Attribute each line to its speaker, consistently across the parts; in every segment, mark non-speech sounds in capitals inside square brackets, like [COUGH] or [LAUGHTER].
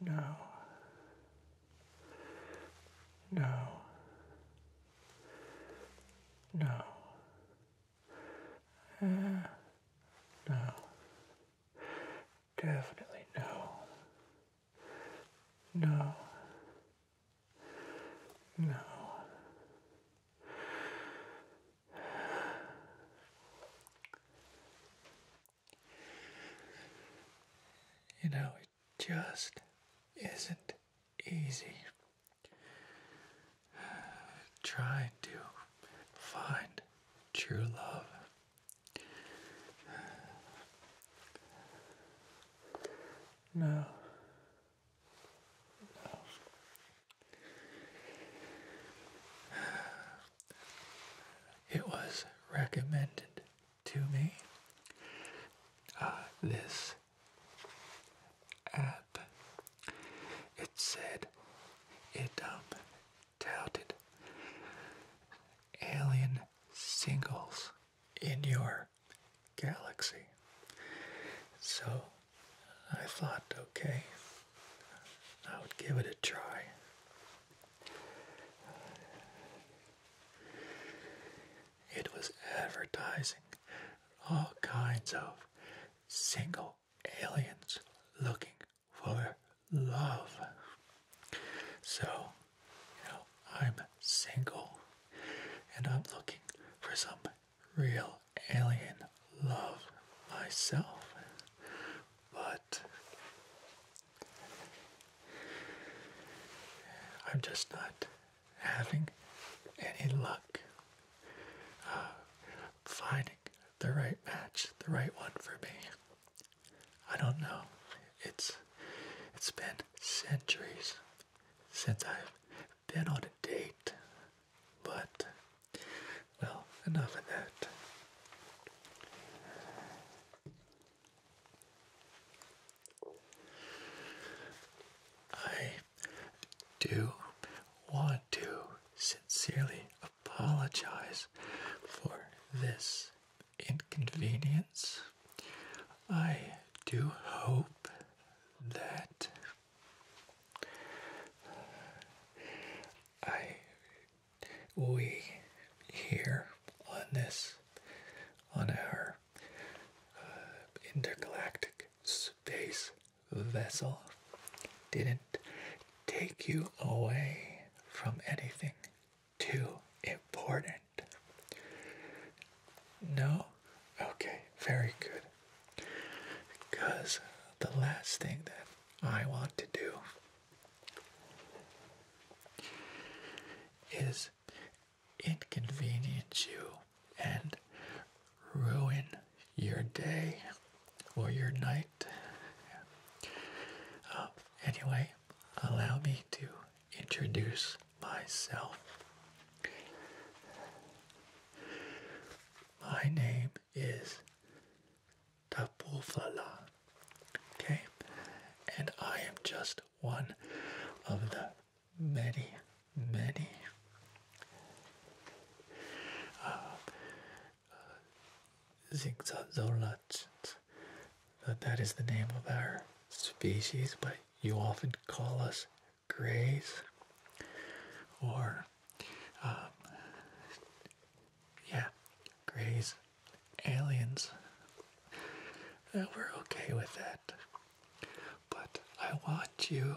Speaker 1: No. No. No. Uh, no. Definitely no. No. No. You know, it just isn't easy trying to find true love. No. It was recommended to me. Uh, this app. It said it um, touted alien singles in your galaxy. So I thought, okay, I would give it a try. It was advertising all kinds of single aliens looking for love. So, you know, I'm single and I'm looking for some real alien love myself, but I'm just not having any luck uh, finding the right match, the right one for me. I don't know. It's it's been centuries since I've been on a date. But, well, enough of that. I do want to sincerely apologize for this inconvenience. I do hope that I we here on this on our uh, intergalactic space vessel didn't take you away from anything too important. No? Okay, very good. Because the last thing that I want to do is inconvenience you and ruin your day or your night. Uh, anyway, allow me to introduce myself. My name is Tapufala. Okay? And I am just one of the many, many uh, uh That is the name of our species, but you often call us grays or um, yeah grays aliens uh, we're okay with that but I want you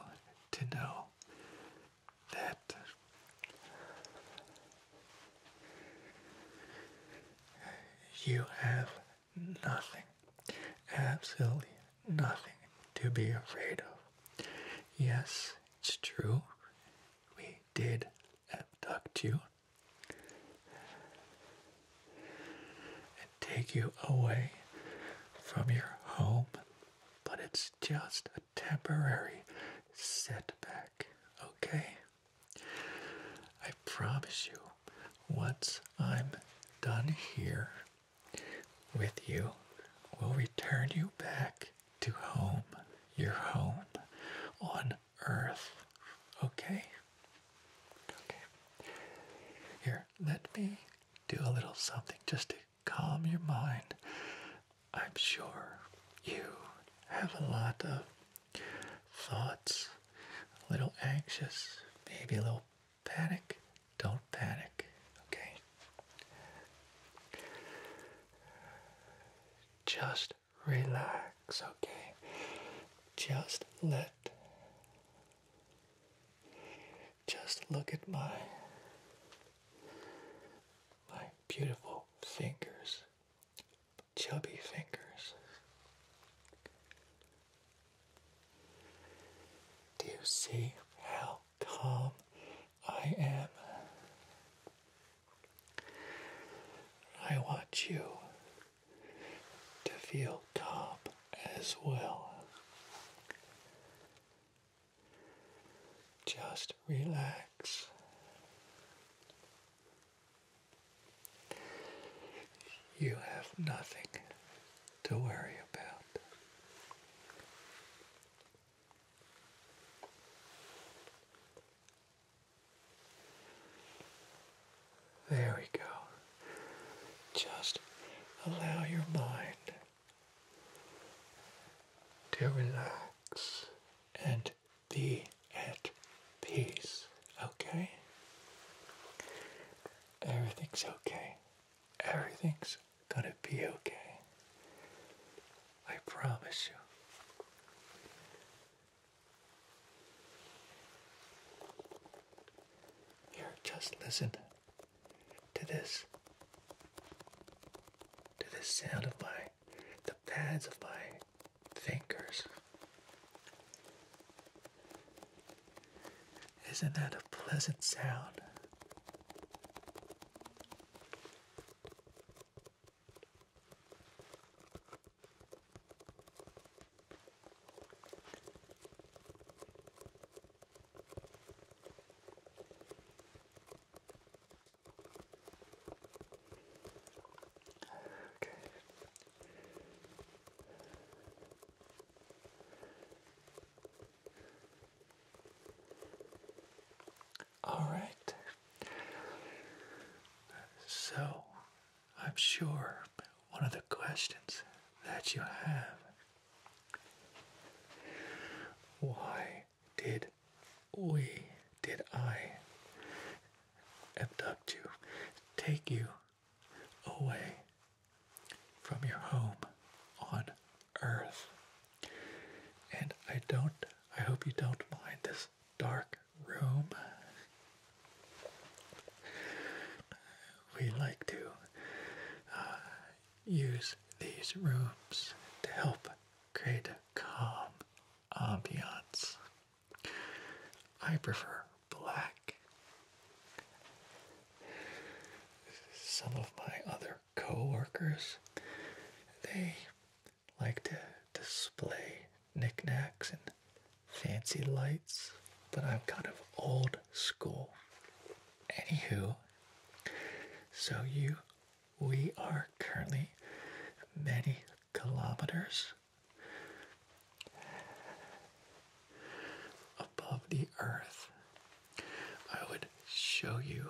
Speaker 1: to know that you have nothing, absolutely nothing to be afraid of. Yes, it's true. We did abduct you and take you away from your home, but it's just a temporary setback, okay? I promise you, once I'm done here, with you will return you back to home, your home on earth. Okay? Okay. Here, let me do a little something just to calm your mind. I'm sure you have a lot of thoughts, a little anxious, maybe a little panic, don't panic, okay? Just relax, okay? Just let. Just look at my my beautiful fingers, chubby fingers. Do you see how calm I am? I want you to feel calm as well. Just relax. You have nothing to worry about. There we go. Just allow your mind to relax and be at peace, okay? Everything's okay. Everything's gonna be okay. I promise you. Here, just listen to this. To the sound of my, the pads of my fingers. Isn't that a pleasant sound? Okay. All right. So, I'm sure one of the questions that you have why did we, did I abduct you, take you away from your home on earth. And I don't, I hope you don't mind this dark room. We like to uh, use these rooms to help create a calm ambiance. I prefer black some of my other coworkers, they like to display knickknacks and fancy lights, but I'm kind of old school. Anywho, so you, we are currently many kilometers above the earth I would show you,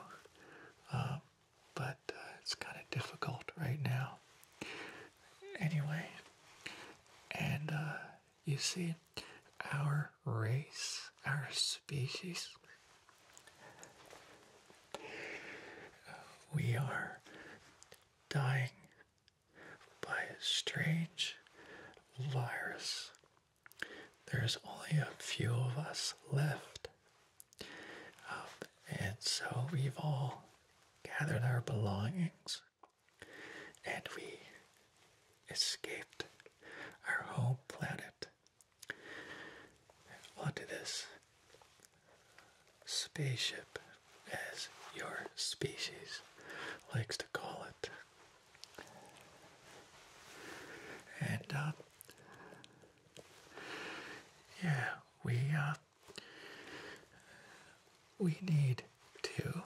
Speaker 1: um, but uh, it's kind of difficult right now. Anyway, and uh, you see, our race, our species, we are dying by a strange virus there's only a few of us left. and so we've all gathered our belongings and we escaped our home planet onto this spaceship, as your species likes to call it. And uh, yeah, we uh, we need to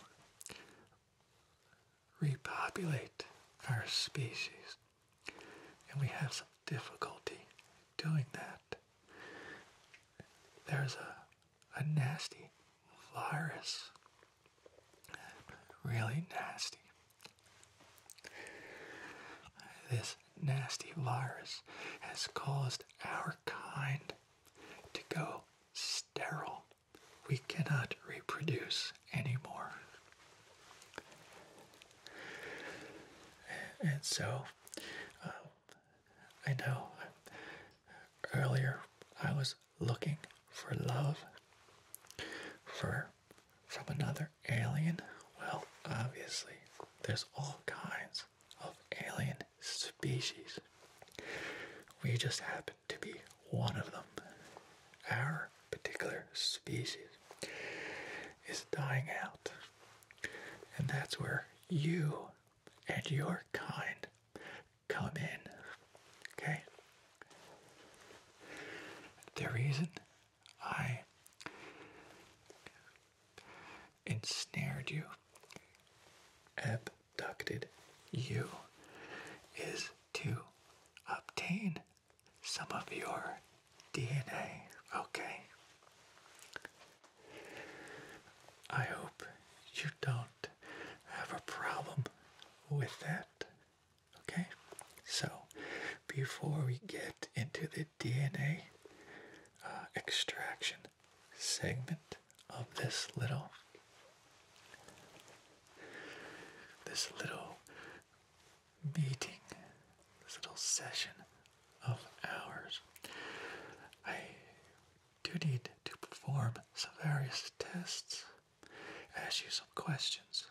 Speaker 1: repopulate our species, and we have some difficulty doing that. There's a a nasty virus really nasty. This nasty virus has caused our kind to go sterile. We cannot reproduce anymore. And so, uh, I know earlier I was looking for love for from another alien? Well, obviously, there's all kinds of alien species. We just happen to be one of them. Our particular species is dying out. And that's where you and your kind come in. Okay? The reason I ensnared you, abducted you, is to obtain some of your DNA. Okay? I hope you don't have a problem with that. Okay, so before we get into the DNA uh, extraction segment of this little this little meeting, this little session of ours, I do need to perform some various tests ask you some questions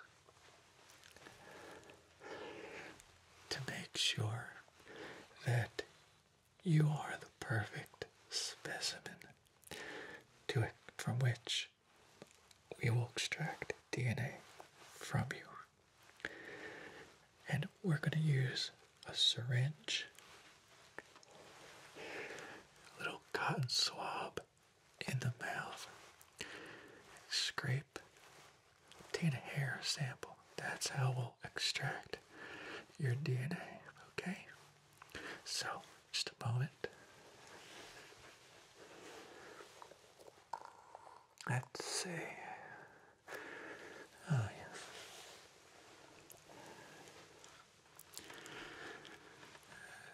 Speaker 1: to make sure that you are the perfect specimen to it from which we will extract DNA from you. And we're going to use a syringe, a little cotton swab, in the mouth. Scrape. take a hair sample. That's how we'll extract your DNA. Okay? So, just a moment. Let's see. Oh, yes.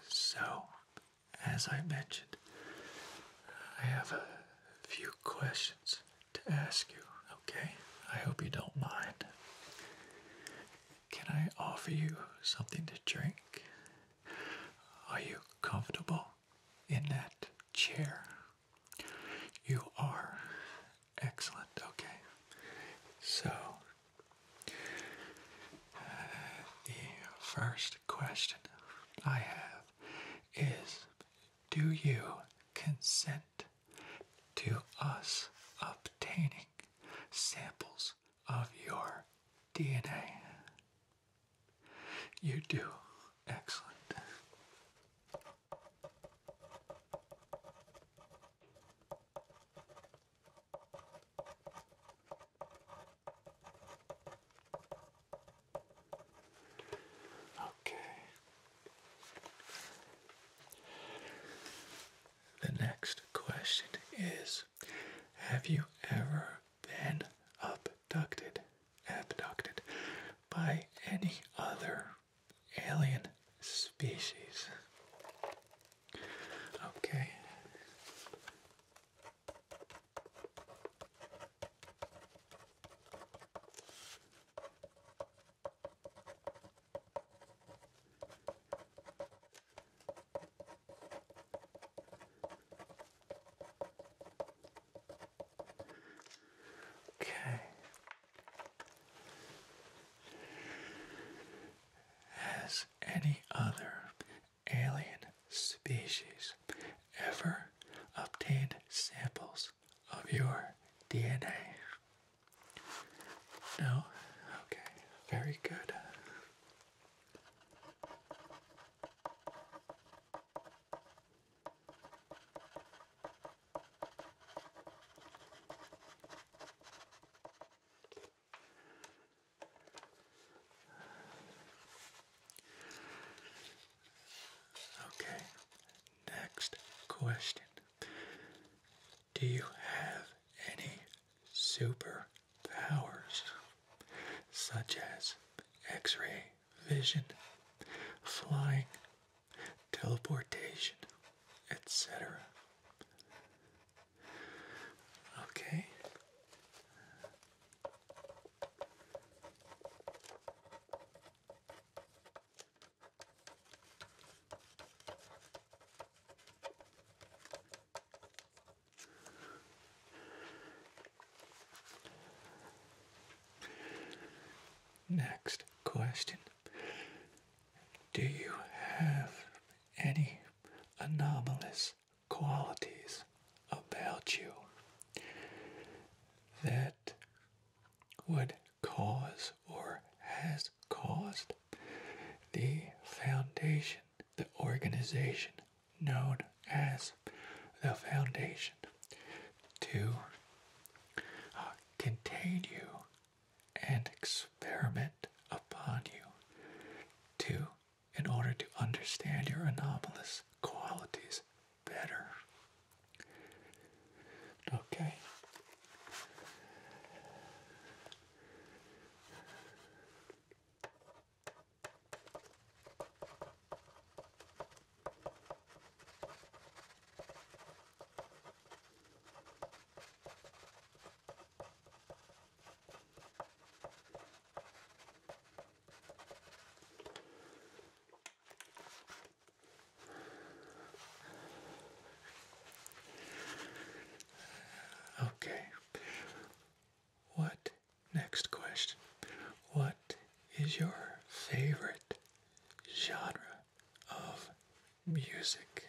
Speaker 1: So, as I mentioned, I have a few questions to ask you, okay? I hope you don't mind. Can I offer you something to drink? Are you comfortable in that chair? You are. Excellent, okay. So, the first question I have is Do you consent to us obtaining samples of your DNA? You do. Excellent. Okay. The next question is Have you ever been abducted, abducted by any other alien species? Okay. Okay. As any other alien species ever obtained samples of your DNA? No? Okay, very good. Okay, next question. Do you have any superpowers such as x ray vision, flying, teleportation, etc.? Okay. Next question. Do you have any anomalous qualities about you that would cause or has caused the foundation, the organization known as the foundation, to uh, contain you and experiment upon you, to in order to understand your anomalous qualities better. Okay. Okay. What next question? What is your favorite genre of music?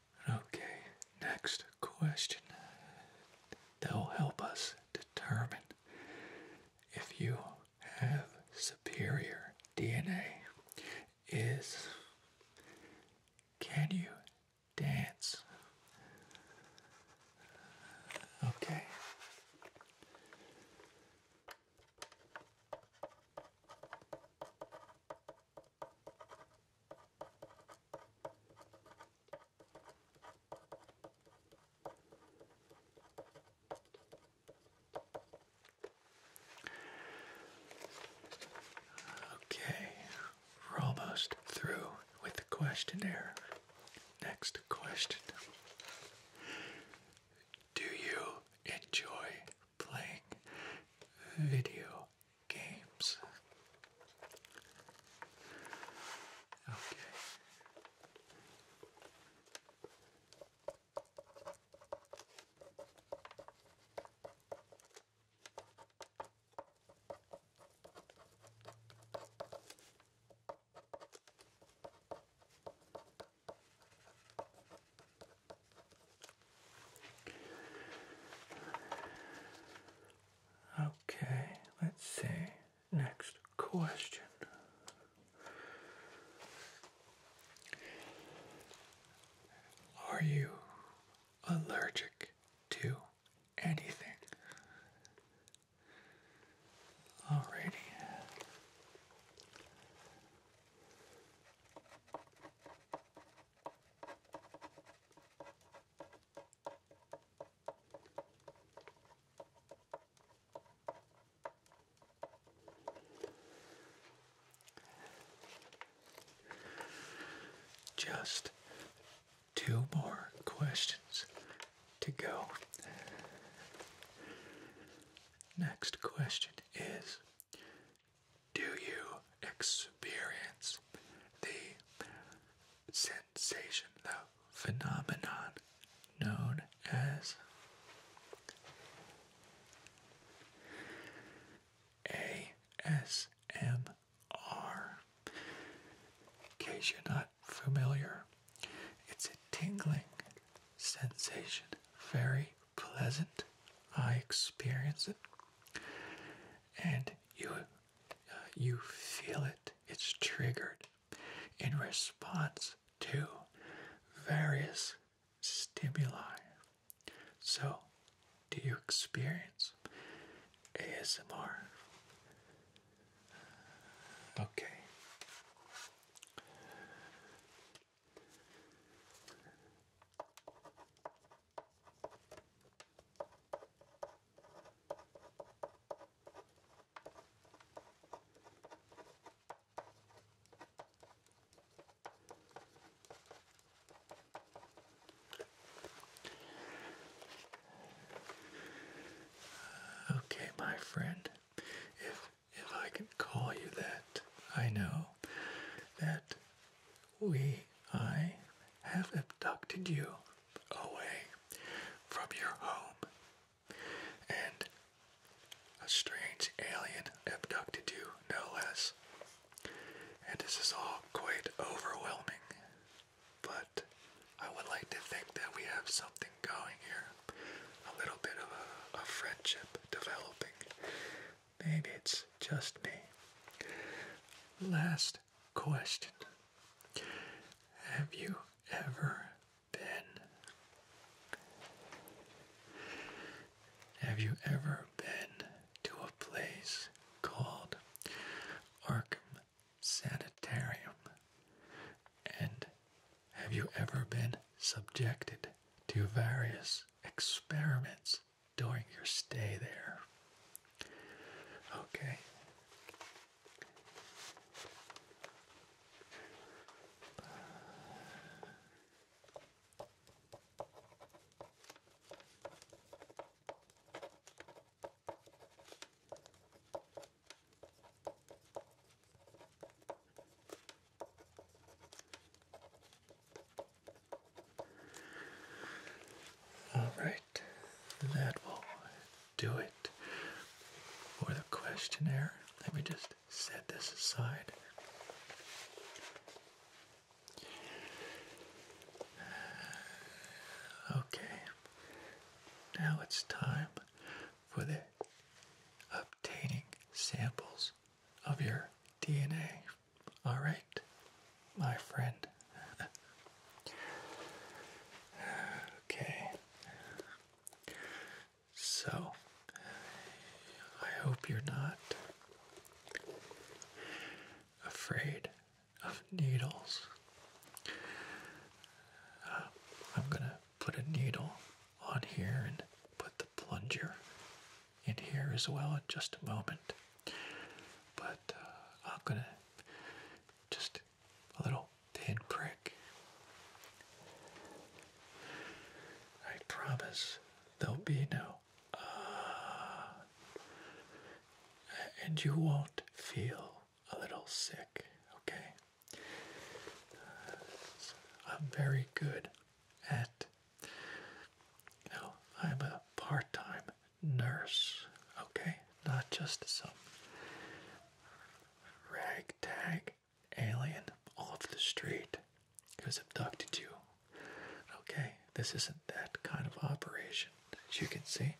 Speaker 1: Okay, next question that will help us determine if you have superior DNA is can you dance? Okay. Okay, we're almost through with the questionnaire. Next question Do you enjoy playing video games. Okay. Okay, let's see. Next question. Are you allergic to anything? Alrighty. Just two more questions to go. Next question is do you experience the sensation, the phenomenon known as ASMR? In case you're not familiar, it's a tingling sensation, very pleasant. I experience it. And you uh, you feel it it's triggered in response to various stimuli so do you experience asmr okay Okay, my friend, if if I can call you that, I know that we, I, have abducted you away from your home, and a strange alien abducted you, no less. And this is all quite overwhelming, but I would like to think that we have something going here a little bit of a, a friendship developing, Maybe it's just me. Last question Have you ever been? Have you ever been to a place called Arkham Sanitarium? And have you ever been subjected to various experiments during your stay there. Okay. All right, that will do it for the questionnaire. Let me just set this aside. Okay, now it's time for the obtaining samples of your DNA. All right, my friend. okay. So, I hope you're not afraid of needles. Uh, I'm gonna put a needle on here and put the plunger in here as well in just a moment. But uh, I'm gonna just a little pin prick. I promise there'll be no. Uh, and you won't feel a little sick, okay? Uh, I'm very good at. no, I'm a part time nurse, okay? Not just some ragtag alien off the street who's abducted you. Okay, this isn't that kind of operation, as you can see.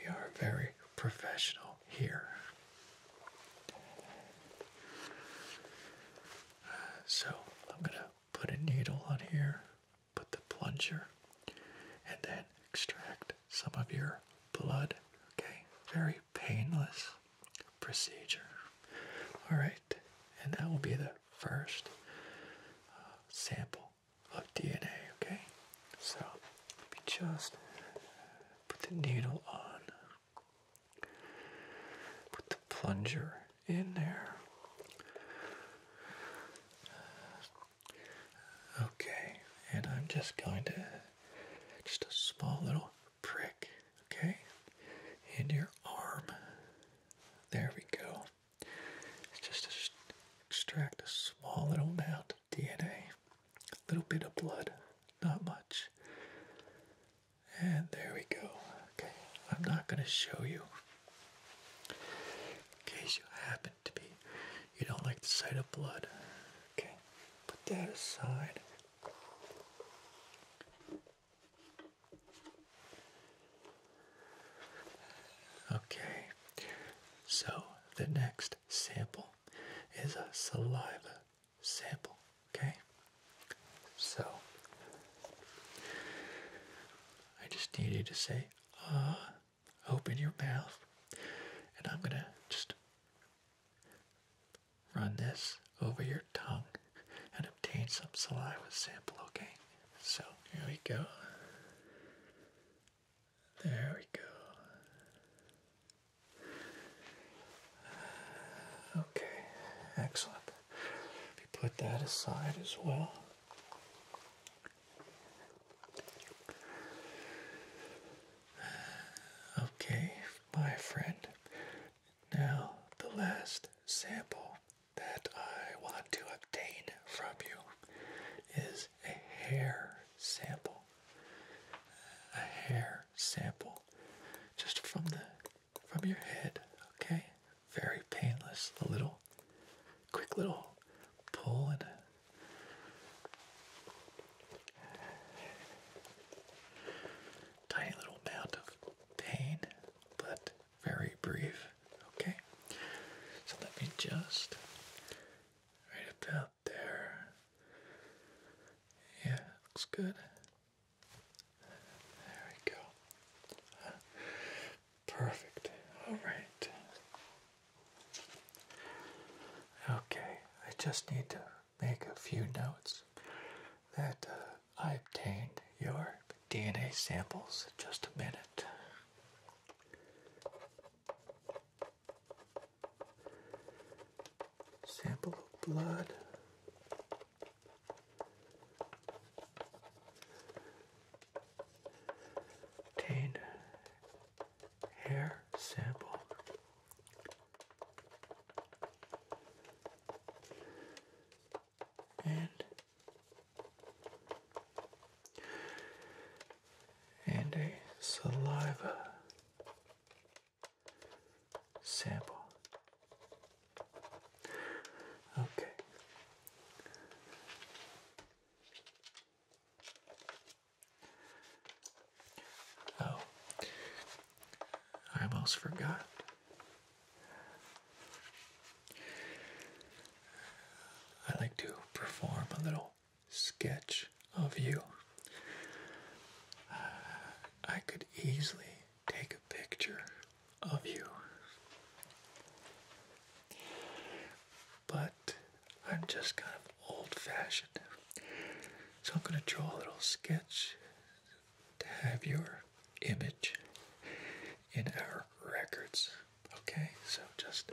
Speaker 1: We are very professional here. So, I'm gonna put a needle on here, put the plunger, and then extract some of your blood. Okay, very painless procedure. All right, and that will be the first uh, sample of DNA. Okay, so we just put the needle on plunger in there. Okay, and I'm just going to just a small little prick, okay, in your arm. There we go. Just extract a small little amount of DNA, a little bit of blood, not much. And there we go. Okay, I'm not going to show you in case you happen to be, you don't like the sight of blood. Okay, put that aside. Okay, so the next sample is a saliva sample. Okay, so I just need you to say, ah, open your mouth. And I'm going to just run this over your tongue and obtain some saliva sample, okay? So here we go. There we go. Okay, excellent. If you put that aside as well. Okay, my friend. Now, the last sample that I want to obtain from you is a hair sample. A hair sample just from the from your head, okay? Very painless. A little quick little pull and a tiny little amount of pain, but very brief, okay? So let me just right about there. Yeah, looks good. There we go. Perfect. All right. Okay, I just need to make a few notes that uh, I obtained your DNA samples in just a minute. Sample of blood, Obtain hair sample. And and a saliva sample. Okay. Oh, I almost forgot. I like to perform a little sketch of you. I could easily take a picture of you. But I'm just kind of old fashioned. So I'm going to draw a little sketch to have your image in our records. Okay, so just.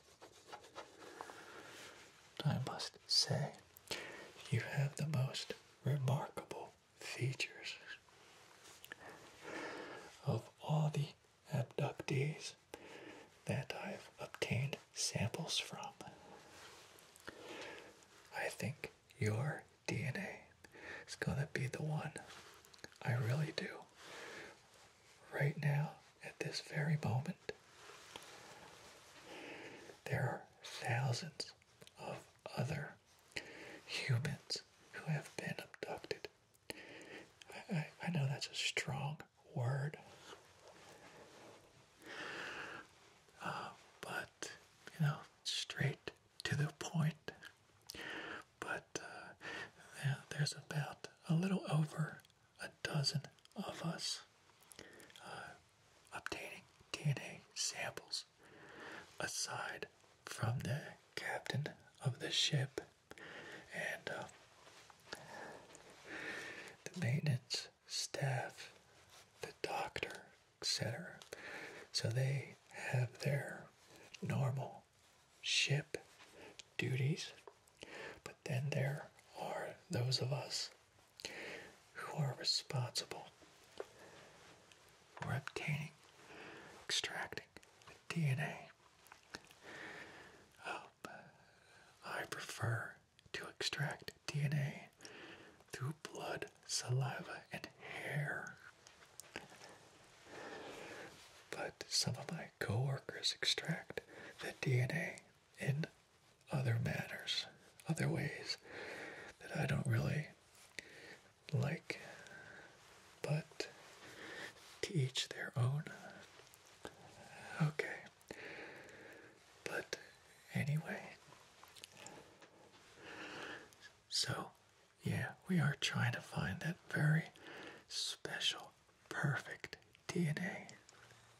Speaker 1: I must say, you have the most remarkable features. Of all the abductees that I've obtained samples from, I think your DNA is going to be the one. I really do. Right now, at this very moment, there are thousands of other humans who have been abducted. I, know that's a strong word, uh, but you know, straight to the point. But uh, there's about a little over a dozen of us uh, obtaining DNA samples. Aside from the captain of the ship and uh, the maintenance staff, the doctor, etc. So they have their normal ship duties, but. But then there are those of us who are responsible for obtaining, extracting the DNA. Um, I prefer to extract DNA through blood, saliva, and hair. But some of my coworkers extract the DNA in other matters, other ways that I don't really like. But teach their own. Okay. But anyway. So, yeah, we are trying to find that very special, perfect DNA,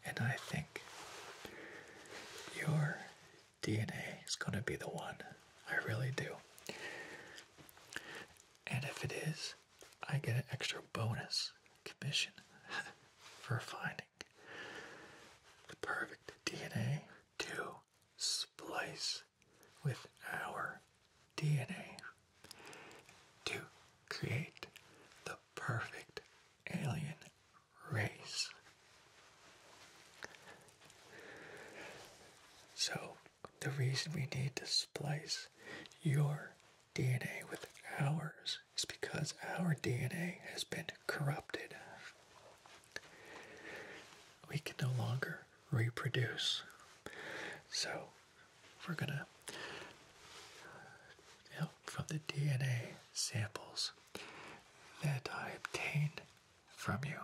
Speaker 1: and I think your DNA is going to be the one. I really do. And if it is, I get an extra bonus commission [LAUGHS] for finding the perfect DNA to splice with our DNA to create the perfect alien race. So, the reason we need to splice your DNA with ours is because our DNA has been corrupted. We can no longer reproduce. So, we're going to from the DNA samples that I obtained from you.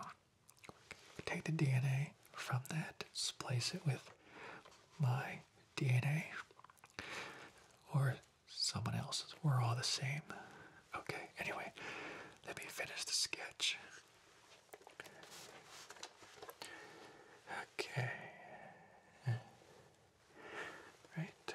Speaker 1: Take the DNA from that, splice it with my DNA or someone else's. We're all the same. Okay, anyway, let me finish the sketch. Okay. Right.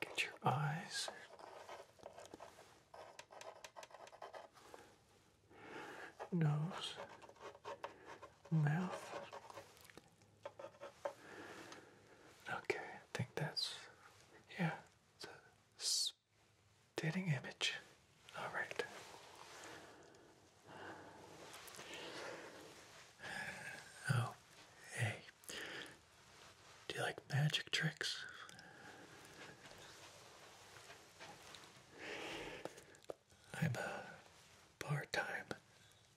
Speaker 1: Get your eyes nose mouth okay I think that's yeah it's a stating image all right oh hey do you like magic tricks? I'm a part time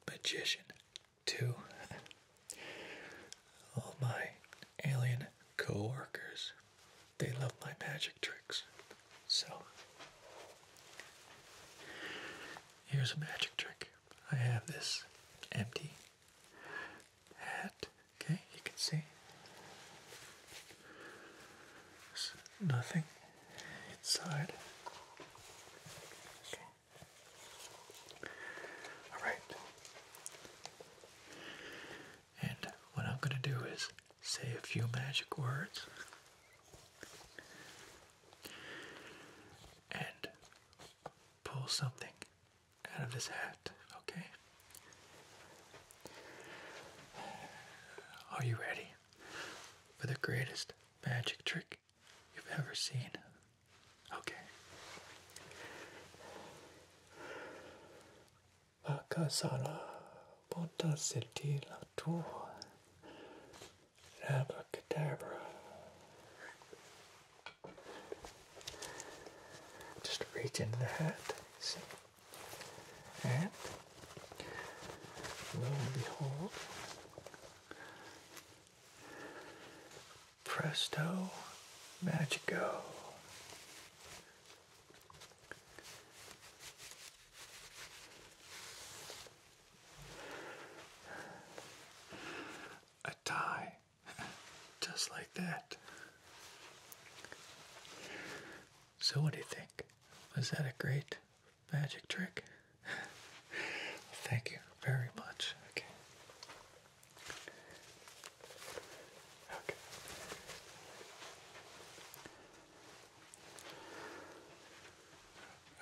Speaker 1: magician, too. All my alien co workers, they love my magic tricks. So, here's a magic trick. I have this empty hat. Okay, you can see nothing inside. Okay. All right. And what I'm going to do is say a few magic words. And pull something out of this hat, okay? Are you ready for the greatest magic trick you've ever seen? Okay. Just reach into the hat, And lo and behold, presto magico. A tie just like that. So, what do you think? Was that a great magic trick? Thank you very much. Okay. Okay.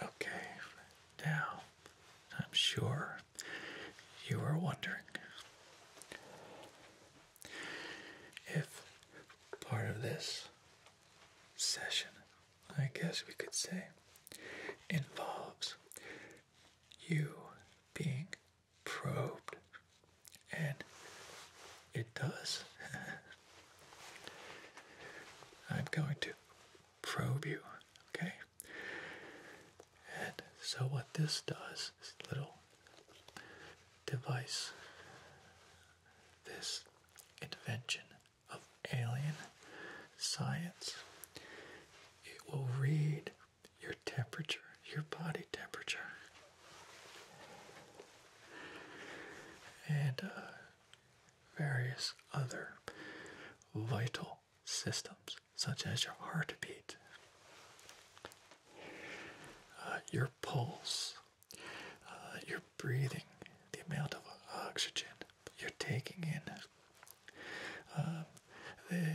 Speaker 1: Okay, now I'm sure you are wondering if part of this session, I guess we could say, involves you being probed, and it does. [LAUGHS] I'm going to probe you, okay? And so, what this does, this little device, this invention of alien science, it will read your temperature, your body temperature. And uh, various other vital systems, such as your heartbeat, uh, your pulse, uh, your breathing, the amount of oxygen you're taking in, um, the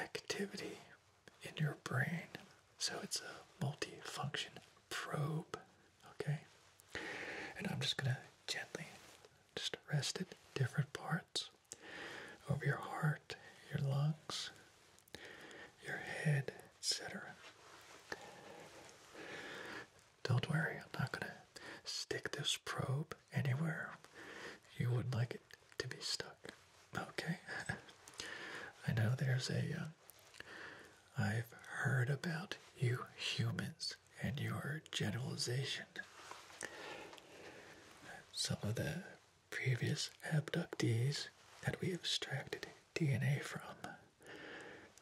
Speaker 1: activity in your brain. So it's a multifunction probe, okay? And I'm just gonna gently just rest it different parts over your heart, your lungs, your head, etc. Don't worry, I'm not going to stick this probe anywhere you would like it to be stuck. Okay? [LAUGHS] I know there's a. have uh, heard about you humans and your generalization. Some of the previous abductees that we extracted DNA from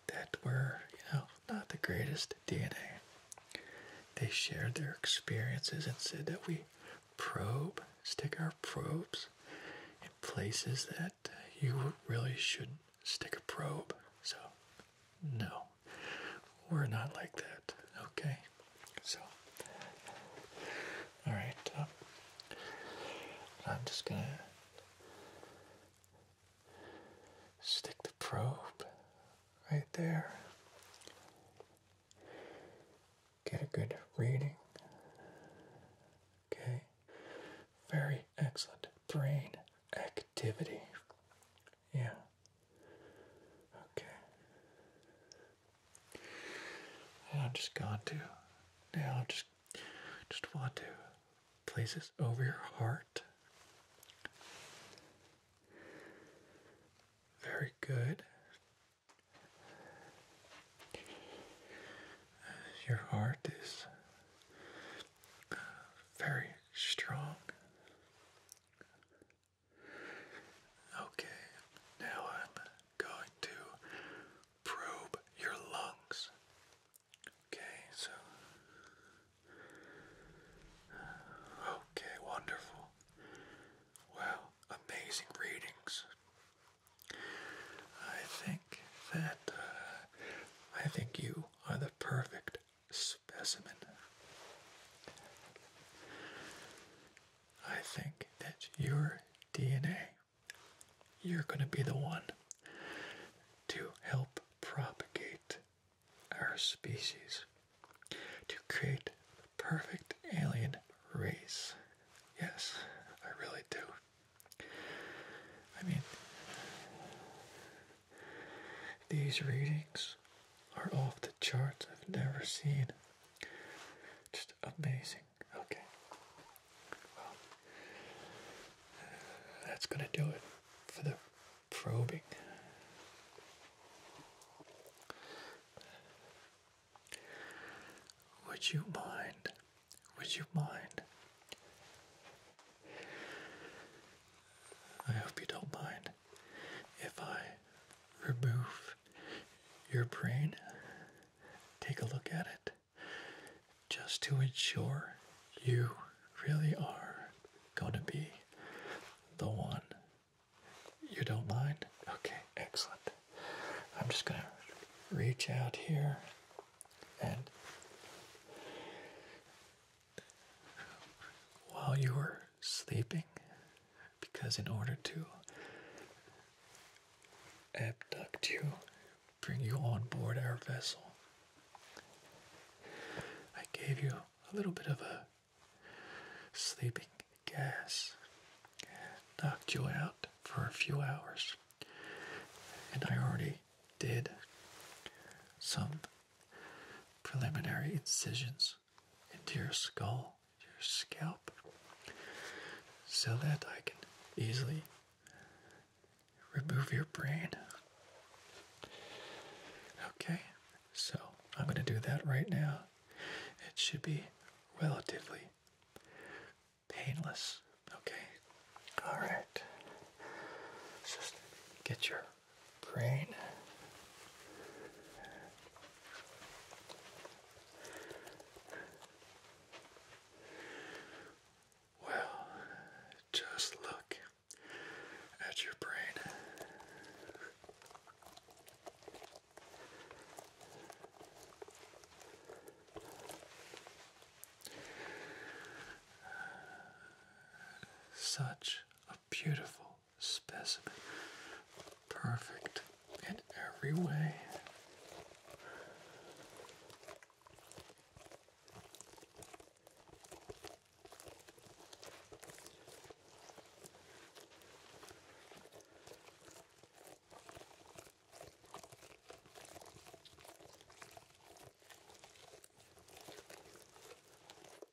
Speaker 1: that were, you know, not the greatest DNA. They shared their experiences and said that we probe, stick our probes in places that you really shouldn't stick a probe. So, no. We're not like that. Okay. So, all right. Uh, I'm just going to stick the probe right there. Get a good reading. Okay. Very excellent brain activity. Yeah. Okay. I'm just going to now just just want to place this over your heart. Very good. Your heart is uh, very strong, Okay, now I'm going to probe your lungs. Okay, so. Okay, wonderful. Wow, amazing readings. I think that uh, I think you are the perfect specimen. I think that your DNA, you're going to be the one to help propagate our species, to create the perfect alien race. Yes, I really do. I mean, these readings are off the charts. I've never seen. Just amazing. Okay. Well, that's going to do it for the probing. Would you mind? Would you mind? I hope you don't mind if I remove your brain, take a look at it, just to ensure you really are going to be the one. You don't mind? Okay, excellent. I'm just going to reach out here and while you were sleeping because, in order to abduct you, bring you on board our vessel, I gave you a little bit of a sleeping gas, knocked you out for a few hours, and I already did some preliminary incisions into your skull, into your scalp, so that I can easily remove your brain. Okay, so I'm going to do that right now. It should be relatively painless. Okay, all right. Just get your Great. Well, just look at your brain. Such a beautiful specimen. Perfect in every way.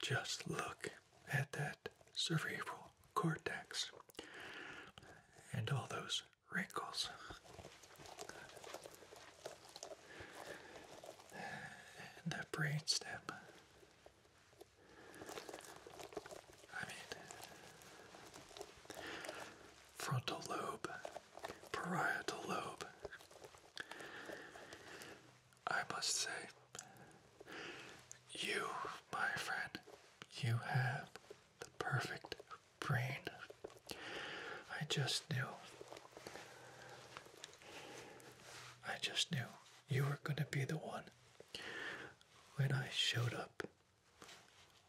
Speaker 1: Just look at that cerebral cortex and all those wrinkles. And the brainstem. I mean, frontal lobe, parietal lobe. I must say, you, my friend, you have the perfect brain. I just knew. I just knew you were going to be the one when I showed up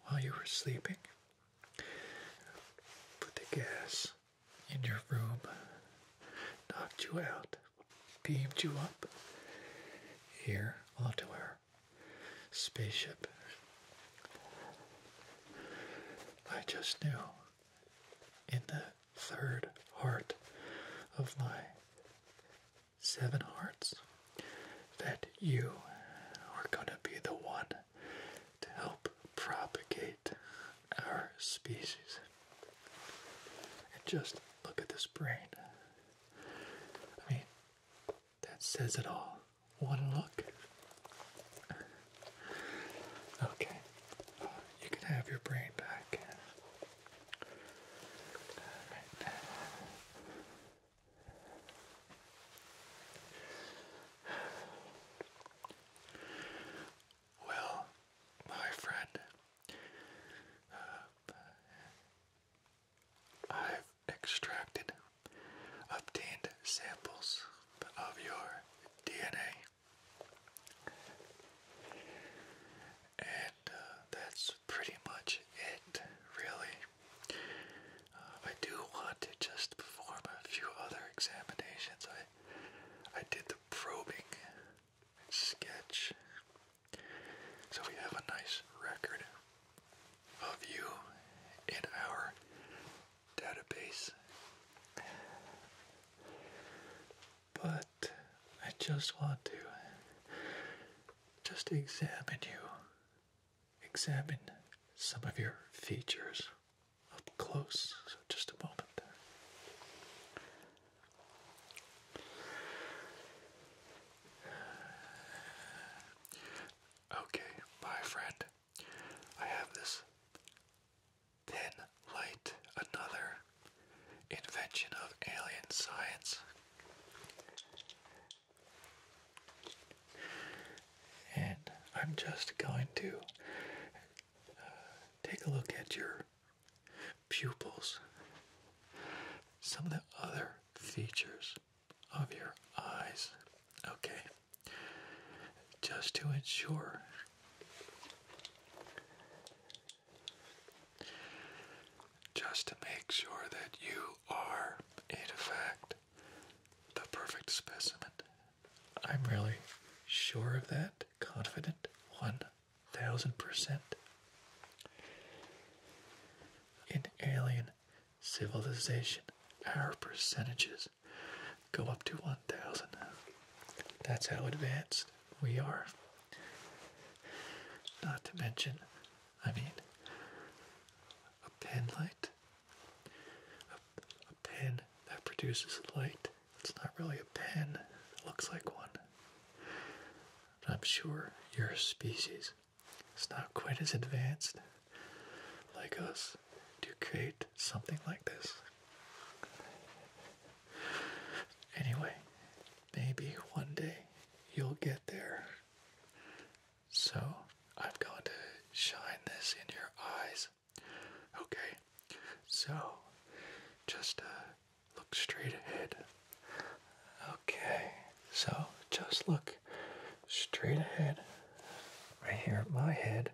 Speaker 1: while you were sleeping. Put the gas in your room, knocked you out, beamed you up here onto our spaceship. I just knew in the third heart of my seven hearts that you are going to be the one to help propagate our species. And just look at this brain. I mean, that says it all one look. Okay, you can have your brain back. Well, my friend, uh, I've extracted obtained samples of your DNA. And uh, that's pretty much it, really. Uh, I do want to just perform a few other examinations. I, I did the probing sketch, so we have a nice record of you and our database. But I just want to just examine you, examine some of your features up close. So, just a moment. Okay, my friend, I have this thin light, another invention of alien science. And I'm just going to uh, take a look at your pupils, some of the other features of your eyes. Okay just to ensure just to make sure that you are in fact the perfect specimen. I'm really sure of that, confident 1000%. In alien civilization, our percentages go up to 1,000. That's how advanced we are. Not to mention, I mean, a pen light, a, pen that produces light. It's not really a pen, it looks like one. I'm sure your species is not quite as advanced like us to create something like this. Anyway, maybe one day you'll get there. So I'm going to shine this in your eyes. Okay, so just uh, look straight ahead. Okay, so just look straight ahead right here at my head.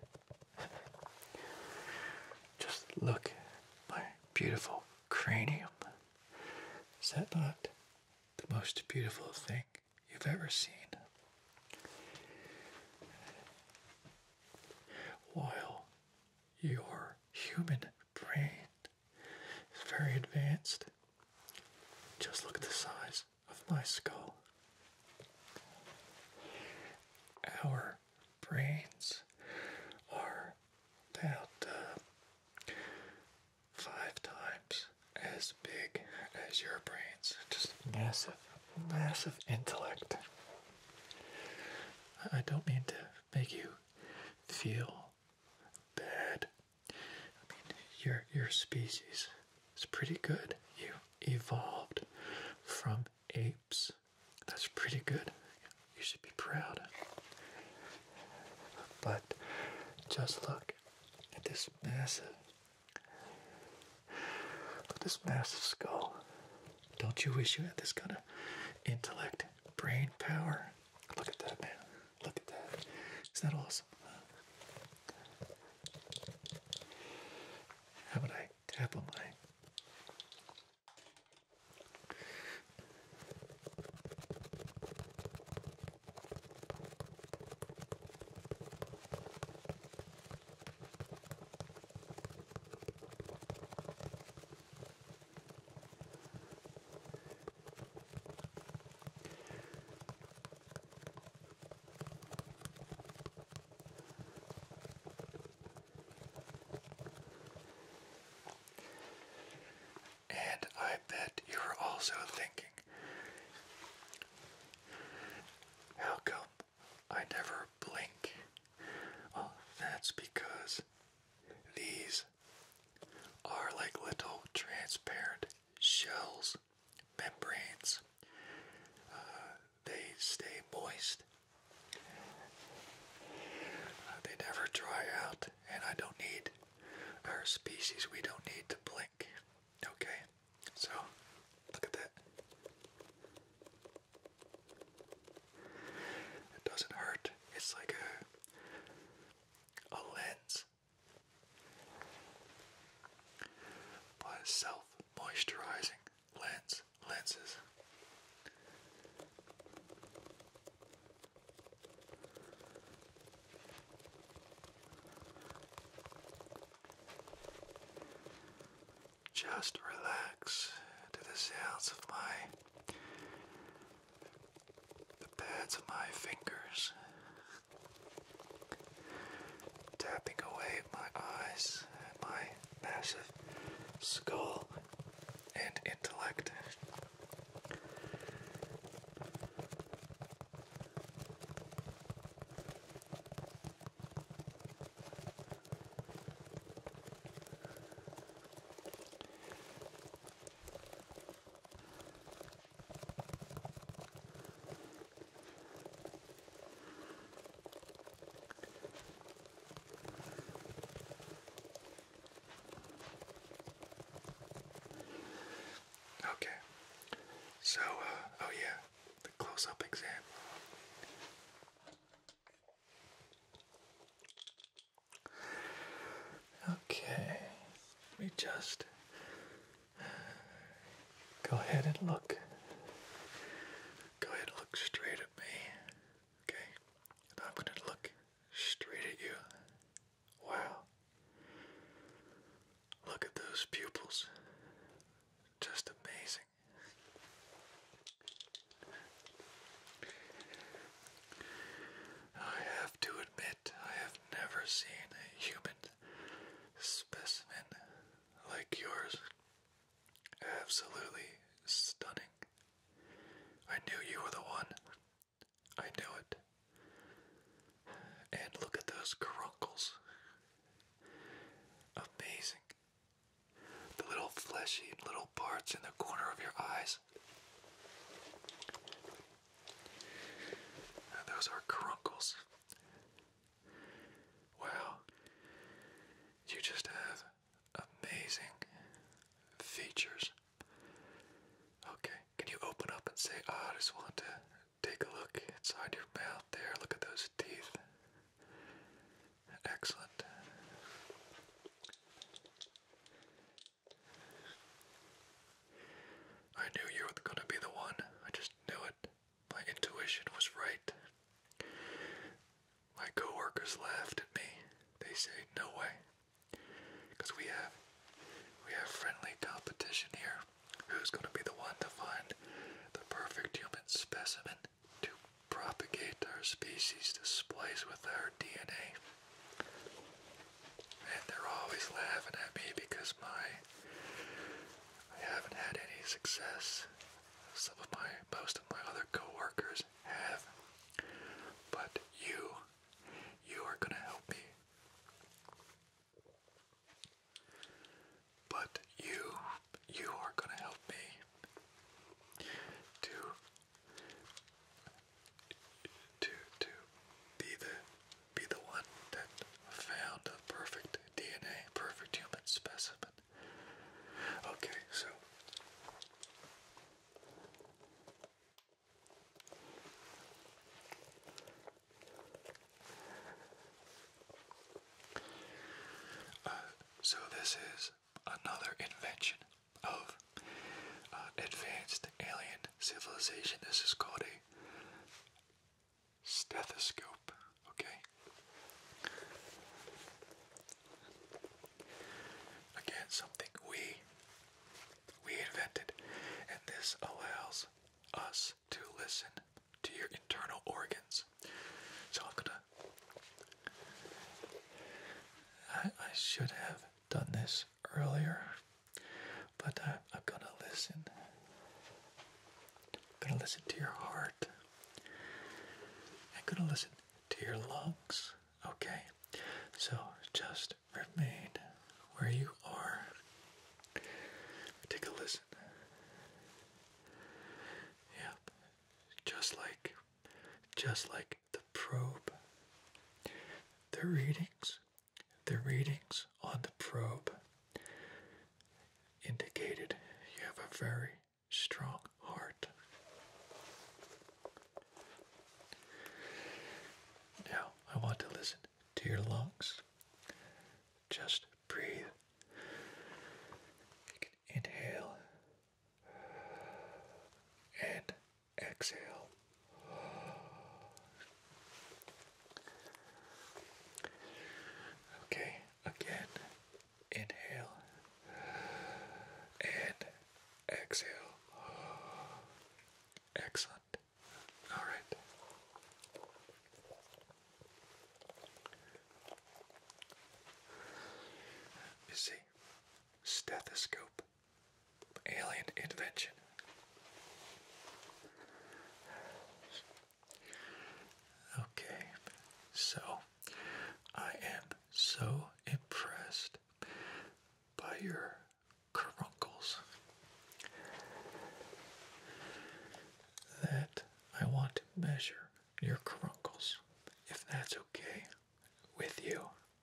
Speaker 1: Just look at my beautiful cranium. Is that not the most beautiful thing you've ever seen? While your human brain is very advanced, just look at the size of my skull. Our brains are about uh, five times as big as your brains. Just massive, massive intellect. I don't mean to make you feel bad. I mean, your your species is pretty good. You evolved from apes. That's pretty good. You should be proud. But just look at this massive look at this massive skull. Don't you wish you had this kind of intellect, brain power? Look at that man. Look at that. Isn't that awesome? How would I tap on my and I bet you're also thinking, how I never blink? Oh, that's because these are like little transparent shells membranes. Uh, they stay moist. Uh, they never dry out, and I don't need our species, we don't need to blink. Okay, so look at that. It doesn't hurt, it's like a, a lens. By itself moisturizing lenses. Just relax to the cells of my the pads of my fingers tapping away my eyes and my massive skull and intellect. Okay. So, uh, oh yeah, the close up exam. Okay, we just Go ahead and look. Go ahead and look straight at me. Okay? And I'm going to look straight at you. Wow. Look at those pupils. Just amazing. I have to admit, I have never seen a human specimen like yours. Absolutely stunning. I knew you were the one. I knew it. And look at those crunkles. Amazing. The little fleshy little parts in the corner of your eyes. those are crunkles. Wow, you just have amazing features. Okay, can you open up and say, ah, I just want to take a look inside your mouth there? Look at those teeth. Excellent. I knew you were going to be the one. I just knew it. My intuition was right. My coworkers laughed at me. They say, "No way," because we have we have friendly competition here. Who's going to be the one to find the perfect human specimen to propagate our species, to splice with our DNA? And they're always laughing at me because my I haven't had any success some of my most of my other coworkers have. But you, you are gonna help me. But you, you are gonna help me to to to be the be the one that found a perfect DNA, perfect human specimen. Okay, so uh, so this is another invention of uh, advanced alien civilization. This is called a stethoscope, okay? Again, something we we invented, and this allows us to listen to your internal organs. So I'm gonna. I, should have done this earlier, but I, am gonna listen. I'm gonna listen to your heart. I'm gonna listen to your lungs, okay? So just remain where you are. Take a listen. Yep, just like, just like the probe. The readings, the readings on the probe indicated you have a very strong heart. Now, I want to listen to your lungs. Just breathe. You can inhale and exhale. Okay, Again, inhale and exhale. Excellent. All right. You see, stethoscope, alien invention. Okay, so I am so impressed by your caruncles that I want to measure your caruncles, if that's okay with you.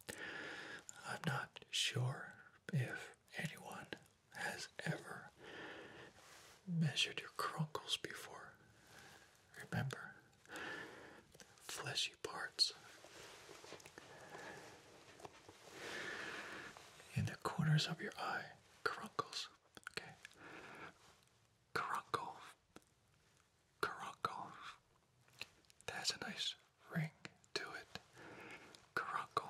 Speaker 1: I'm not sure if anyone has ever measured your crunkles before. Remember, fleshy parts. In the corners of your eye, crunkles. Okay. Crunkle. Crunkle. That has a nice ring to it. Crunkle.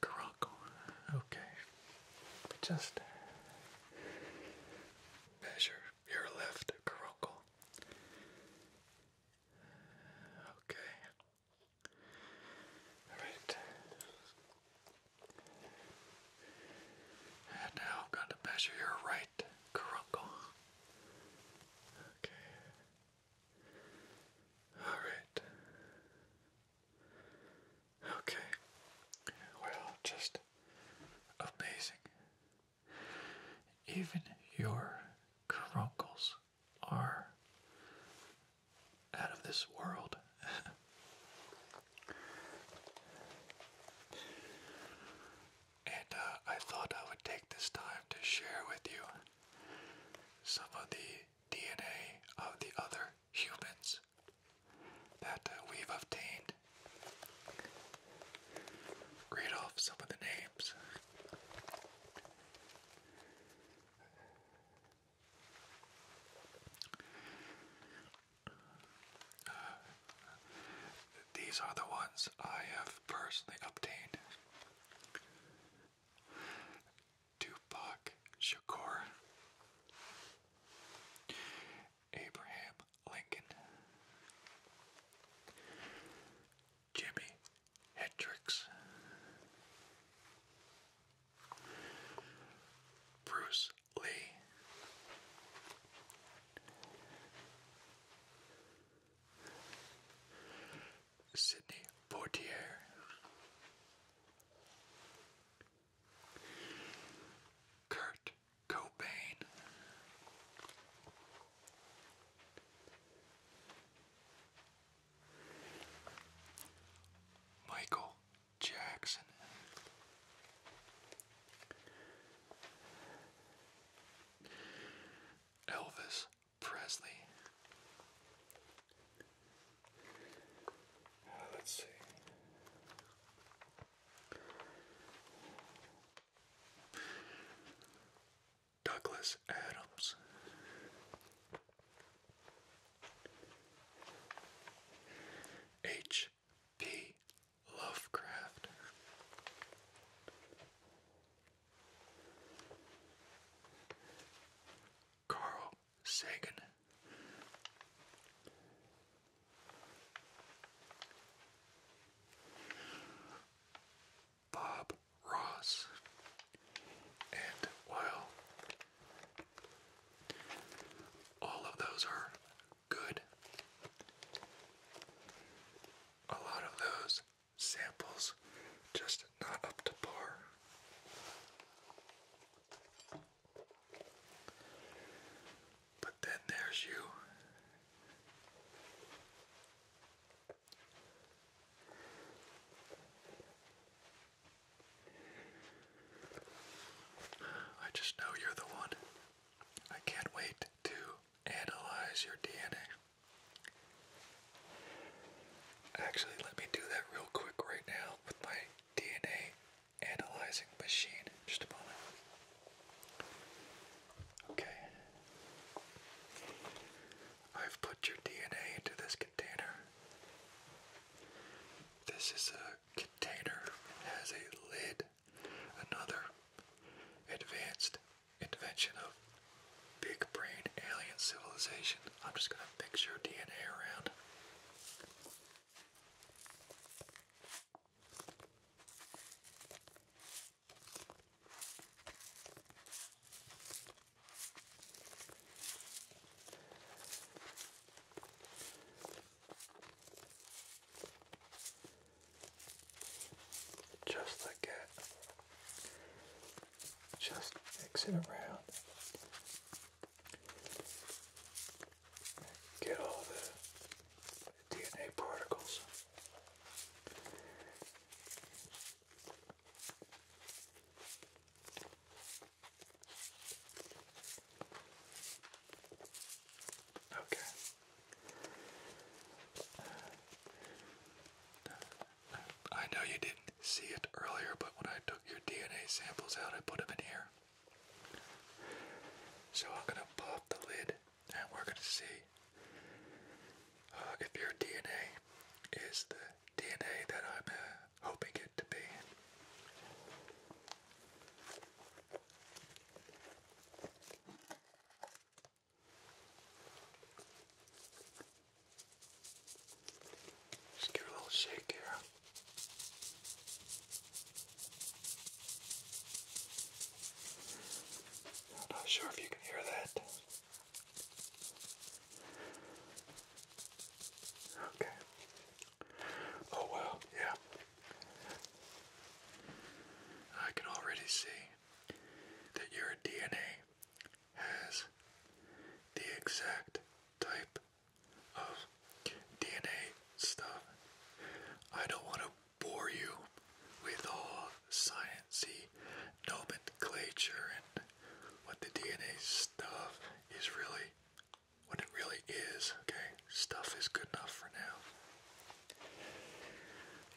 Speaker 1: Caracal. Okay. We just measure your left caracal. Okay. Alright. And now I'm going to measure your right caracal. Okay. All right. Okay. Well, just amazing. Even your crunkles are out of this world. [LAUGHS] and uh, I thought I would take this time to share with you some of the DNA of the other humans that uh, we've obtained. Read off some of the names. Uh, these are the ones I have personally obtained. Tupac Shakur, Abraham Lincoln, Jimi Hendrix, Bruce Lee. Sydney Portier, Kurt Cobain. Michael Jackson. Elvis Presley. Uh, let's see. Douglas Adams. H. P. Lovecraft. Carl Sagan. Bob Ross. And while all of those are good, a lot of those samples just not up to par. But then there's you. I just know you're the one. I can't wait to analyze your DNA. Actually, let me do that real quick right now with my DNA analyzing machine. Just a moment. Okay. I've put your DNA into this container. This is a container. It has a lid. Another advanced invention of big brain alien civilization. I'm just gonna mix your DNA around. Just like that. Just mix it around. Get all the DNA particles. Okay. I know you didn't see it earlier, but when I took your DNA samples out, I put them in here. So I'm gonna pop the lid and we're gonna see uh, if your DNA is the DNA that I'm uh, hoping it to be. Just give a little shake here i not sure if you can hear that. Okay. Oh well, yeah. I can already see that your DNA has the exact type of DNA stuff. I don't want to bore you with all sciencey nomenclature and what the DNA stuff is really, what it really is, okay? Stuff is good enough for now.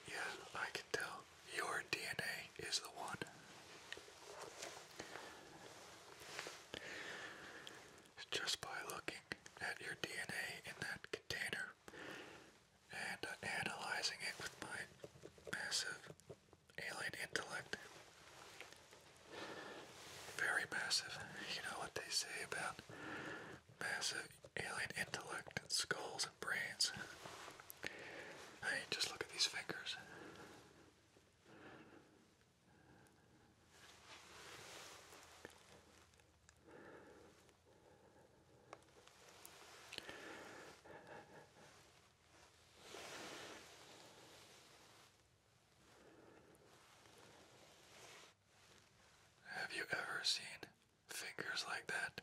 Speaker 1: Yeah, I can tell your DNA is the one just by looking at your DNA in that container and uh, analyzing it with my massive alien intellect. Very massive. You know what they say about massive alien intellect and skulls and brains. Hey, just look at these fingers. Have you ever seen fingers like that?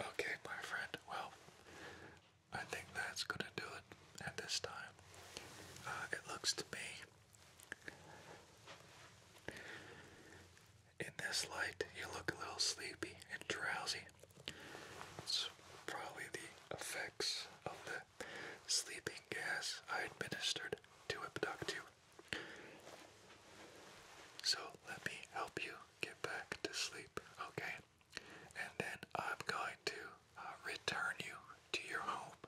Speaker 1: Okay, my friend, well, I think that's gonna do it at this time. Uh, it looks to me. In this light, you look a little sleepy and drowsy. It's probably the effects of the sleeping gas I administered to abduct you. So let me help you get back to sleep, okay? And then I'm going to uh, return you to your home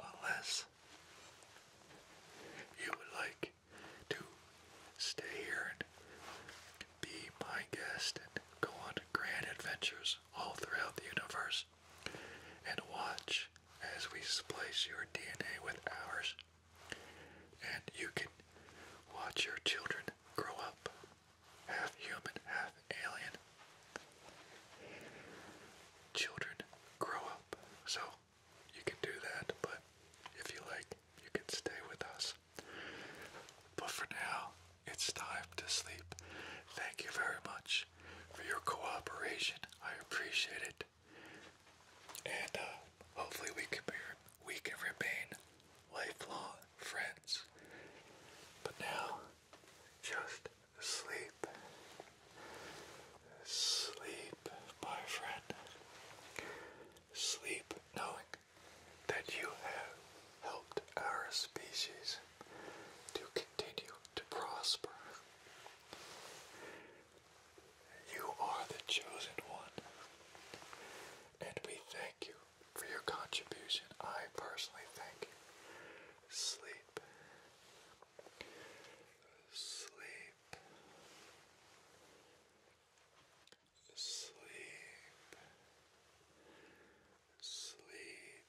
Speaker 1: unless you would like to stay here and be my guest and go on grand adventures all throughout the universe and watch as we splice your DNA with ours and you can watch your children grow up, half human, half alien. Children grow up, so you can do that, but if you like, you can stay with us. But for now, it's time to sleep. Thank you very much for your cooperation. I appreciate it. And uh, hopefully we can, be, we can remain Life-long friends. But now, just sleep. Sleep, my friend. Sleep knowing that you have helped our species to continue to prosper. You are the chosen one. And we thank you for your contribution. I personally thank you. Sleep. Sleep. Sleep. Sleep.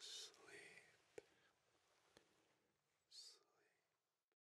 Speaker 1: Sleep. Sleep.